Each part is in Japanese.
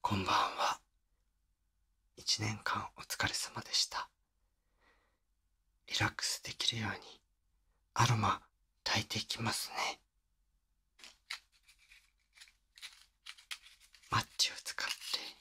こんばんは。一年間お疲れ様でした。リラックスできるようにアロマ炊いていきますね。マッチを使って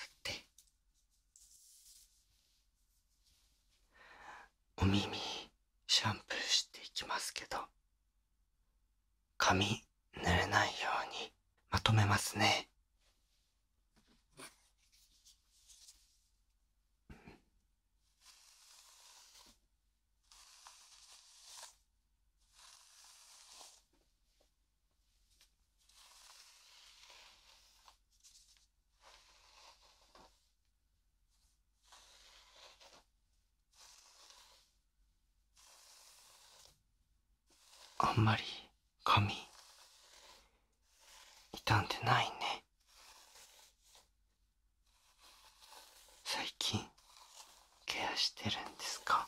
ってお耳シャンプーしていきますけど髪濡れないようにまとめますねあんまり髪傷んでないね最近ケアしてるんですか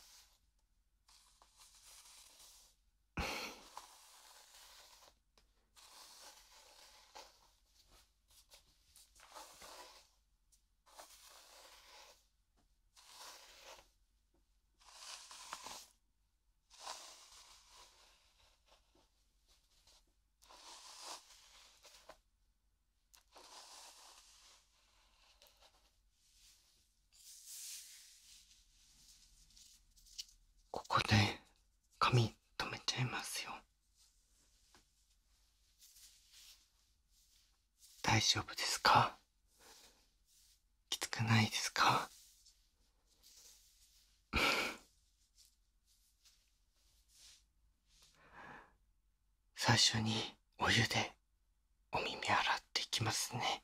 ここで髪留めちゃいますよ大丈夫ですかきつくないですか 最初にお湯でお耳洗っていきますね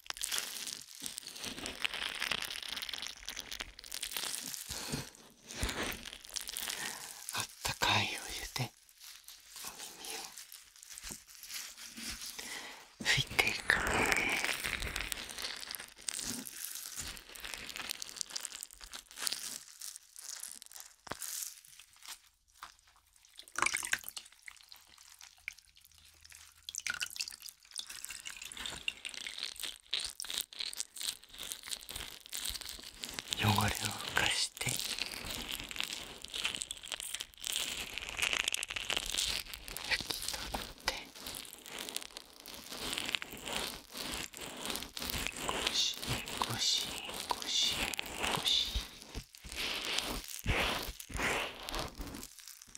あったかいお湯でお耳を拭いていく汚れを浮かして拭き取ってゴシゴシゴシ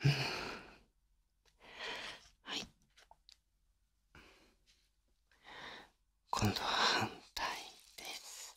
はい今度は反対です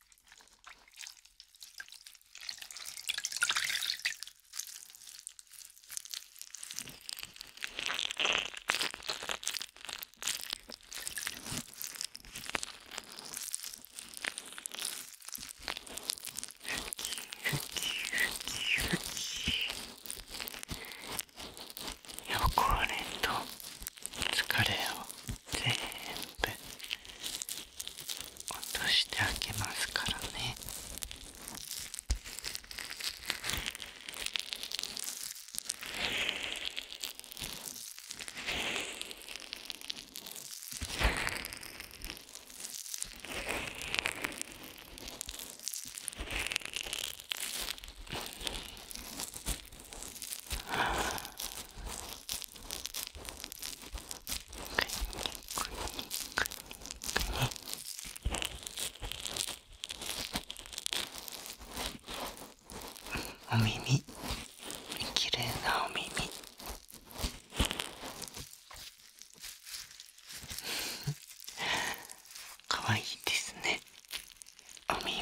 汚れと疲れを全部落としてあげますからねああ。お耳綺麗なお耳かわいいですねお耳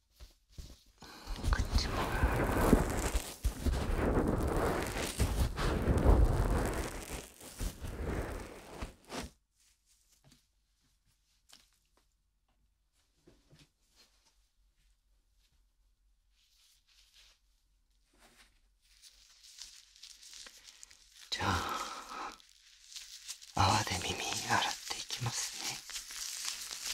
こっちもじゃあ泡で耳洗っていきますね。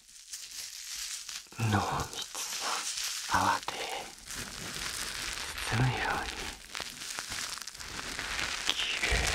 濃密な泡で包むようにきれい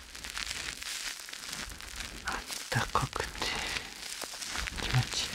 あったかくて気持ちいい。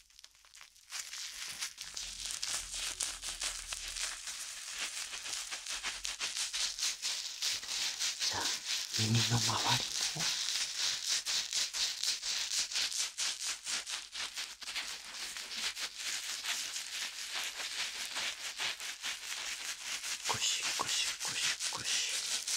じあ耳の周りもゴシゴシゴシゴシ。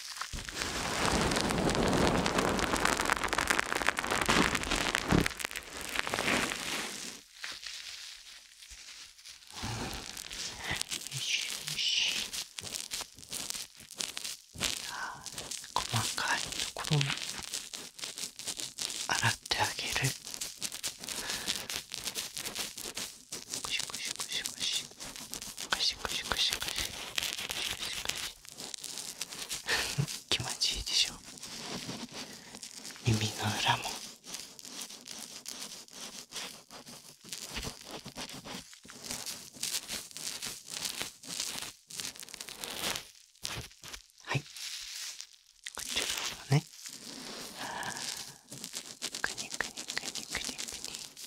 よよしし。細かいところも洗ってあげる。くしくしくしくし。シクシクシクシ気持ちいいでしょ耳の裏もはいこっちの方ねくにくにくにくにくに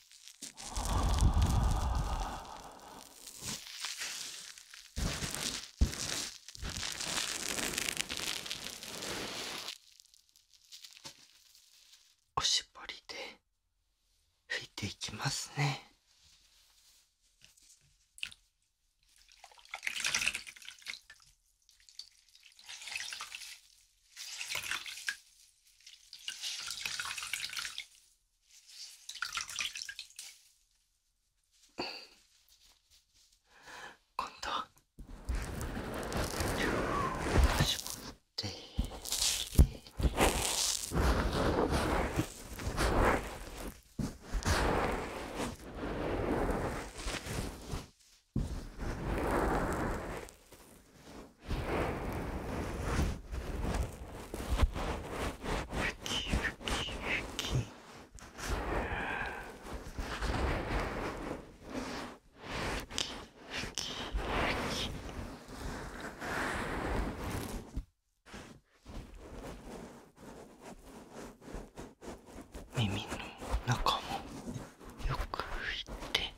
おしぼりで拭いていきますね。今度絞きふきふきふきふき耳の中もよく拭いて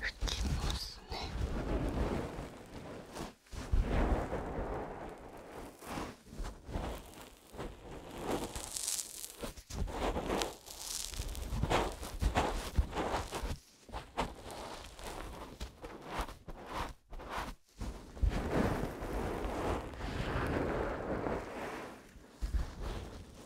拭きますね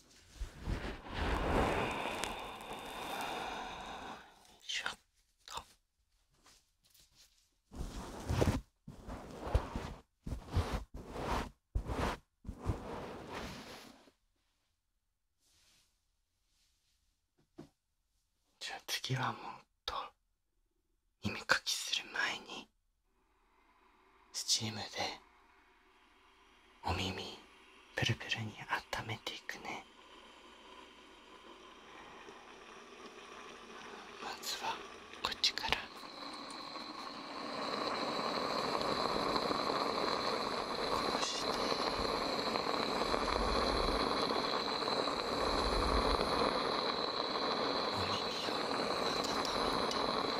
よしょっとじゃあ次はもっと耳かきする前に。スチームでお耳プルプルにあっためていくねまずはこっちから。お耳を温めて。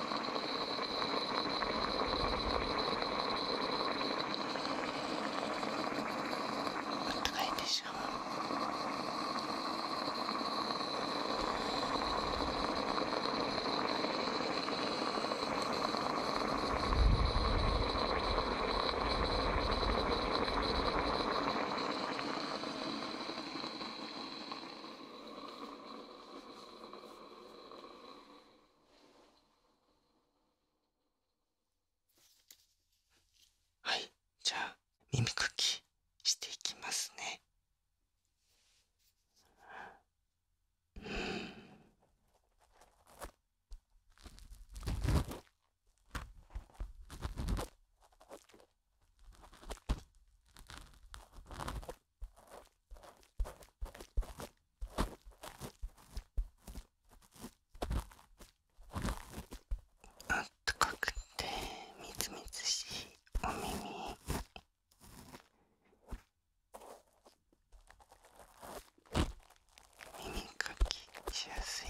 あったかいでしょはいじゃあ耳かきしていきますねうんあったかくてみずみずしいお耳耳かきしやすい。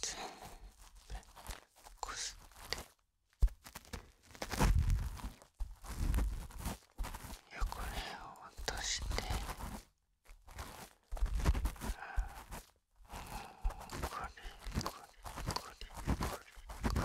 全部こすって汚れを落としてうこれこれこれこれこれこれ。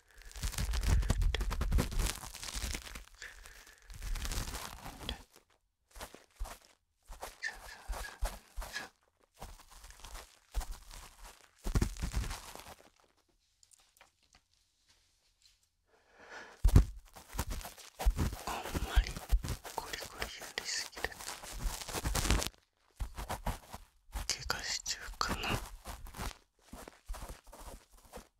あんまりゴリゴリやりすぎると怪我しちゃうかな。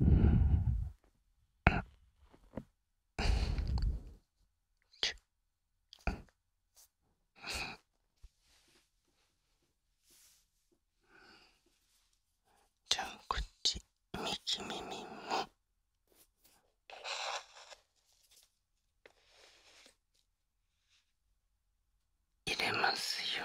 うん。じゃあこっち右耳も入れますよ。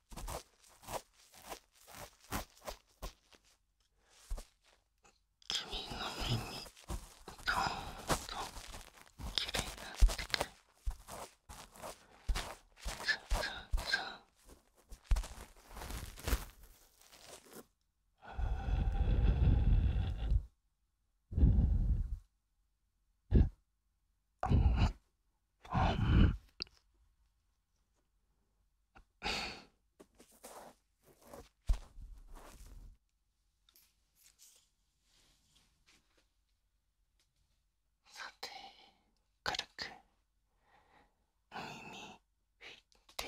君の耳どんどんきれいになってくるさあさあさあさて軽く耳振って。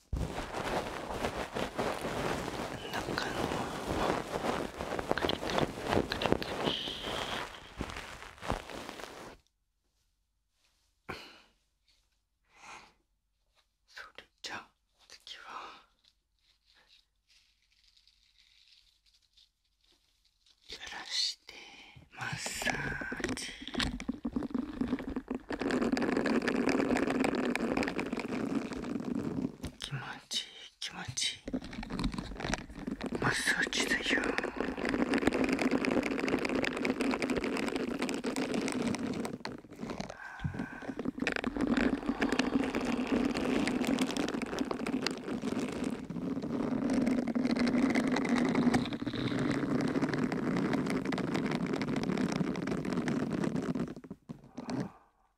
中のカリカリカリカリそれじゃあ次は揺らしてマッサージ気持ちいい気持ちいいマッサージだよあ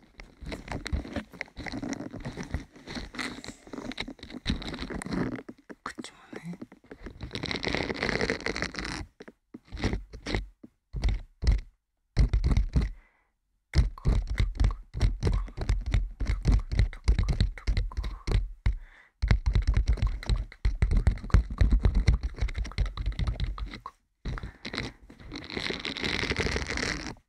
口もね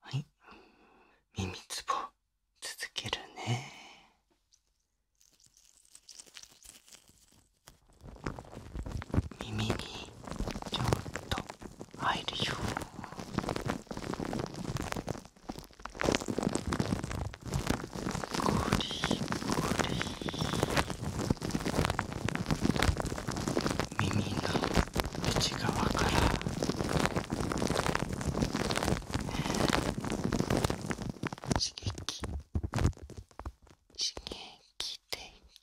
はい耳つぼ続けるね耳にちょっと入るよゴリゴリ耳の内側から刺激刺激電気。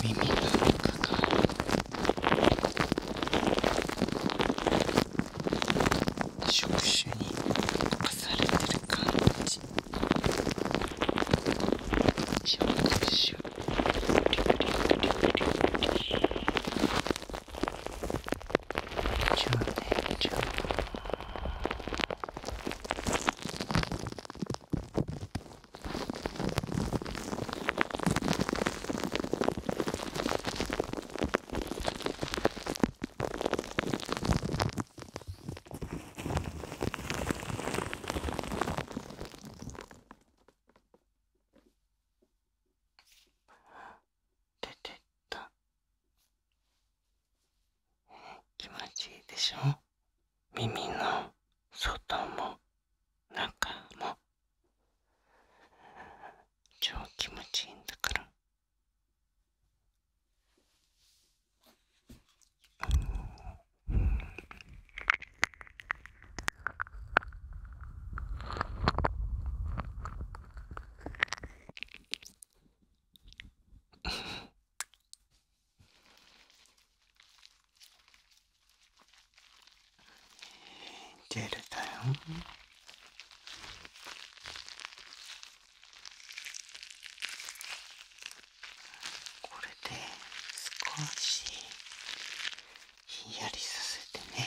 耳がかかる触手に侵されてる感じ触手じゃあねじゃあ出てった気持ちいいでしょ耳の外も中も超気持ちいいんだから。ううん。ん。ジェだよ。これで少しひんやりさせてね。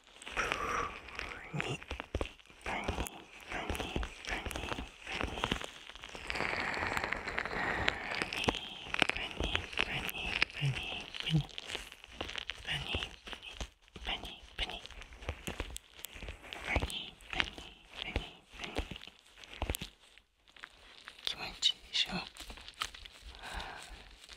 になになになに気持ちいいでしょ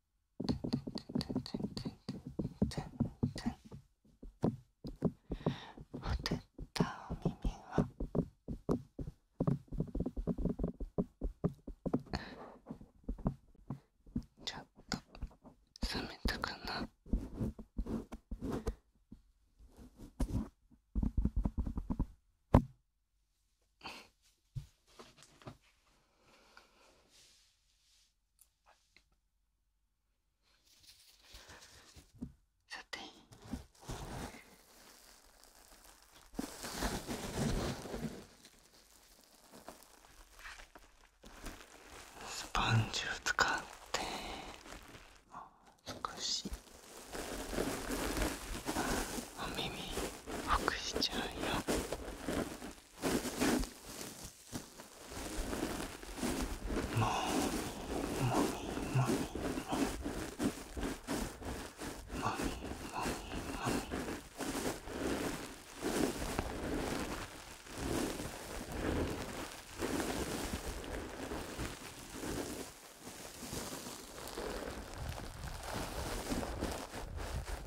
てんてんんんんん。んん。ててててててったお耳はちょっと冷めたかなさてスポンジを使って少し。お耳ほしちゃうよもみもみもみもみもみもみもみ耳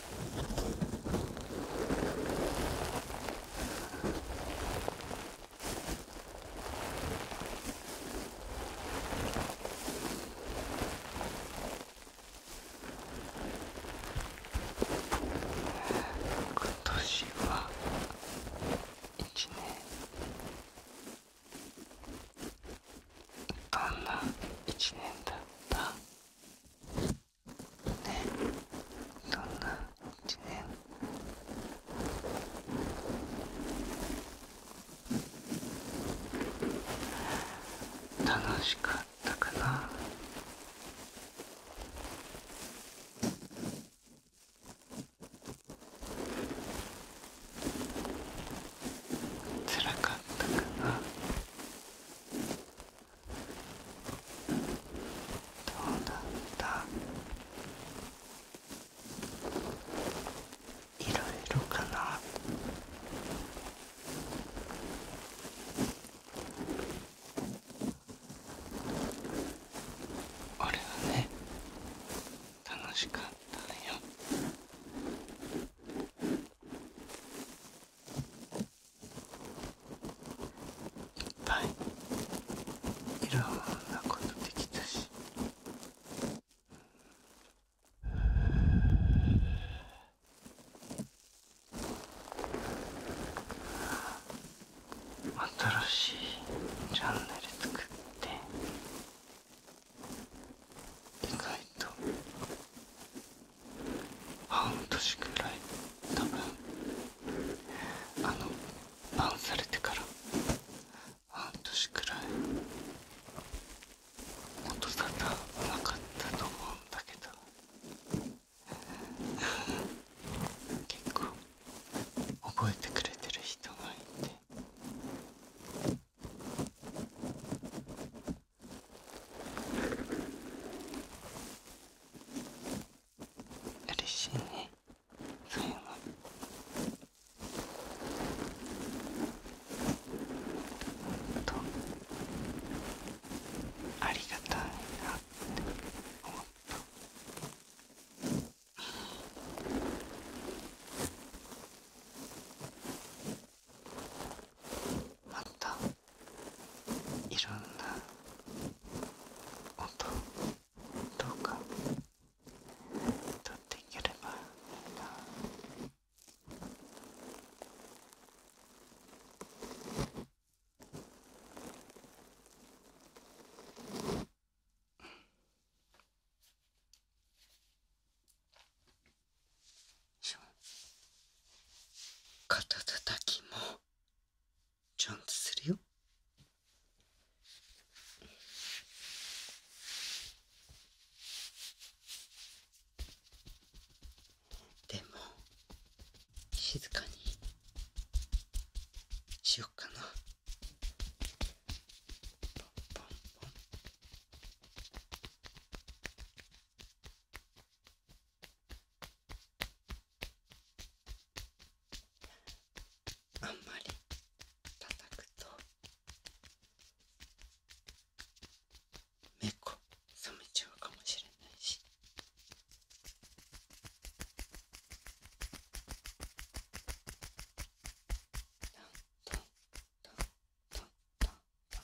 今年は一年どんな一年だったねえ。どんな一年楽しかったかなつらかったかなどうだったいろいろかな俺はね楽しかったよいっぱいいろんなことできたし新しいチャンネル作って意外と半年くらい多分あのバンされてから半年くらい音沙汰なかったと思うんだけど結構覚えてくれてる人がいて。嬉しいねそういうのとありがたいなって思った。またいろんな音どうかとっていければいいな肩たたきもちゃんとするよでも静かにしよっかなポンポンポンあんまり叩くと猫冷めちゃうかもしれないし。トントントントントントン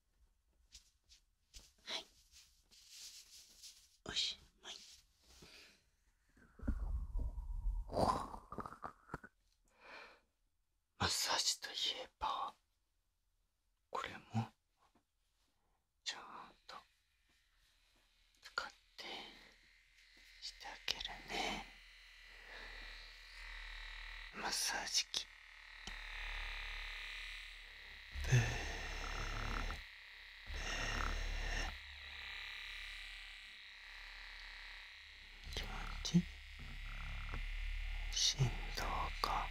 はいおしまいマッサージといえばこれもちゃんと使ってしてあげるねマッサージ器。気持ちいい振動が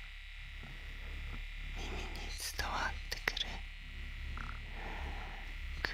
耳に伝わってくるくりくりくり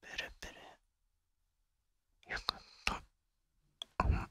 プルプルよかったあ、うん、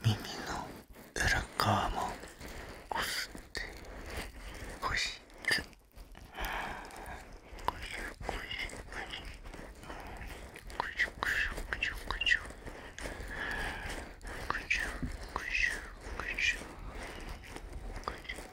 耳の裏側もこすってほしつこしょこしょこしょこしょこしょこしょこしょこしょこしょこしょこしょ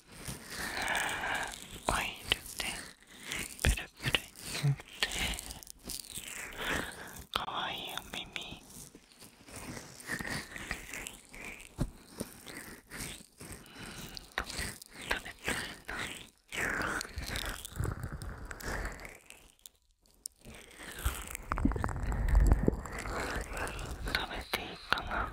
オイルでプルプルに塗ってかわいいお耳と食べたいな食べていいかな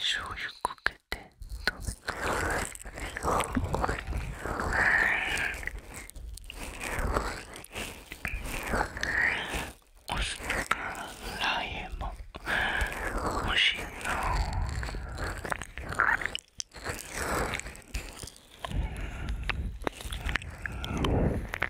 醤油かけこ食べてお酢かラーも美味し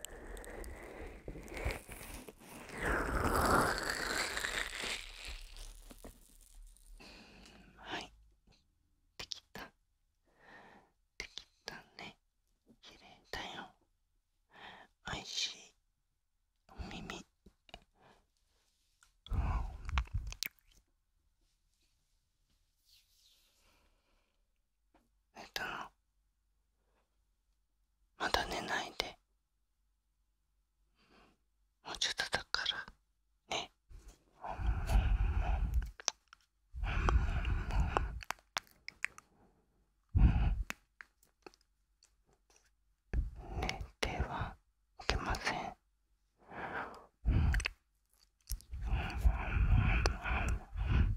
はいできたできたね綺麗だよおいしいお耳うんえっとまだ寝ないでもうちょっとだからね寝てはいけませんうんうんうんうんうん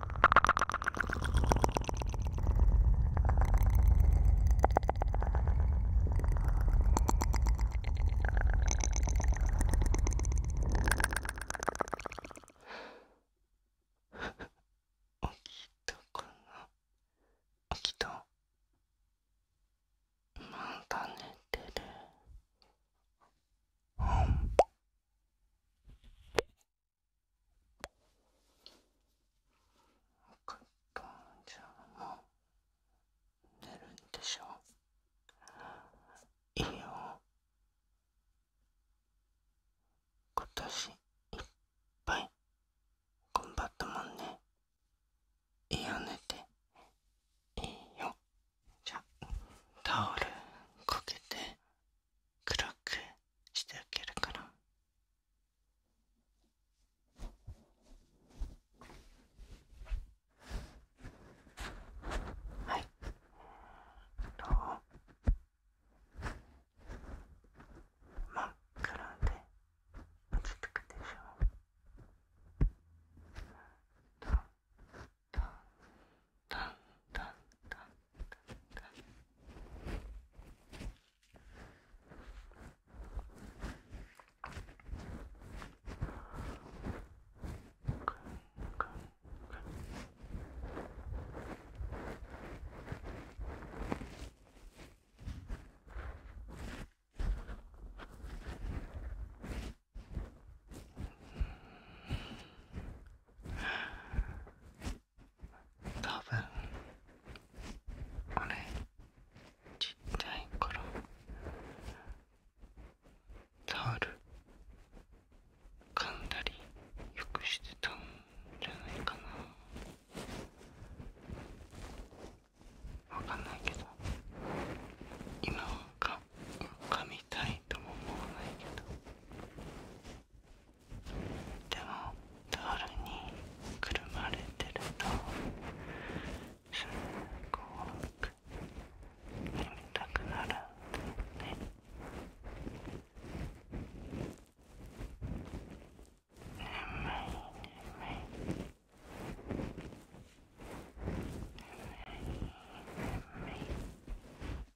起きたかな起きたまた寝てるうんカか、トンちゃんも寝るんでしょう。いいよ今年いっぱい頑張ったもんねいいよ寝ていいよじゃタオルかけて黒くしてあげるから。はいどう真っ暗で落ち着くでしょう。dun, dun, dun, dun, dun. Good, good, good, 多分あれちっちゃい頃タオル噛んだりよくしてたんじゃないかなわかんないけど今はかみたいないもうないけどでも春にくるまれてるとすごく眠たくなるんだよね眠い眠い眠い眠い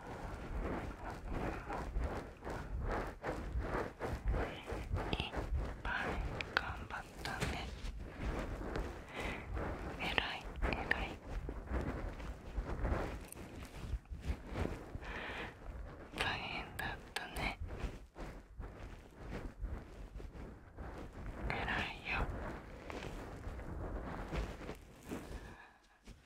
ん。いっぱい頑張ったねえらいえらい大変だったねえらいよ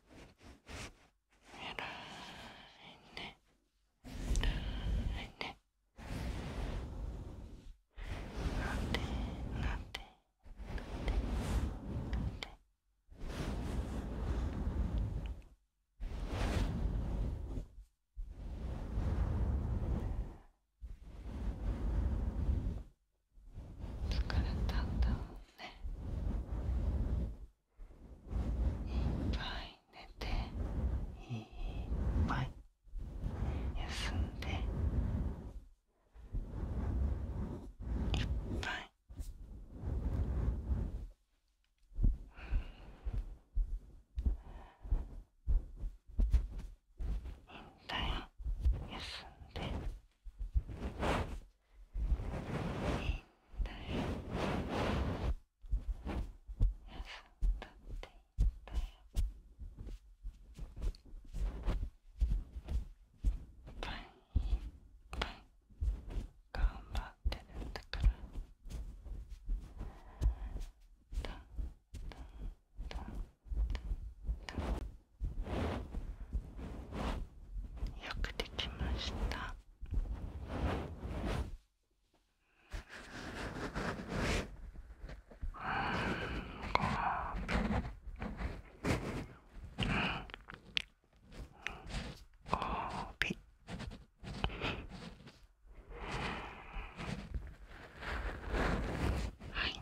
偉いね偉いねなんでなんでなんでなんで疲れたんだろうねいっぱい寝ていっぱい休んでいっぱい引退休んで。い張んだよ。ら。だんだっていいんだよ。いっぱい、いっぱい。だんだんだんだんだんだんだんだんだんよくできました。ご褒美はい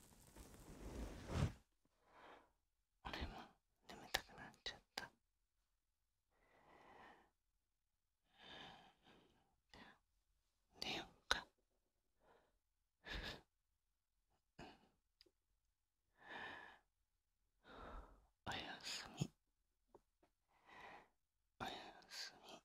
俺も眠たくなっちゃった寝ようかおやすみおやすみ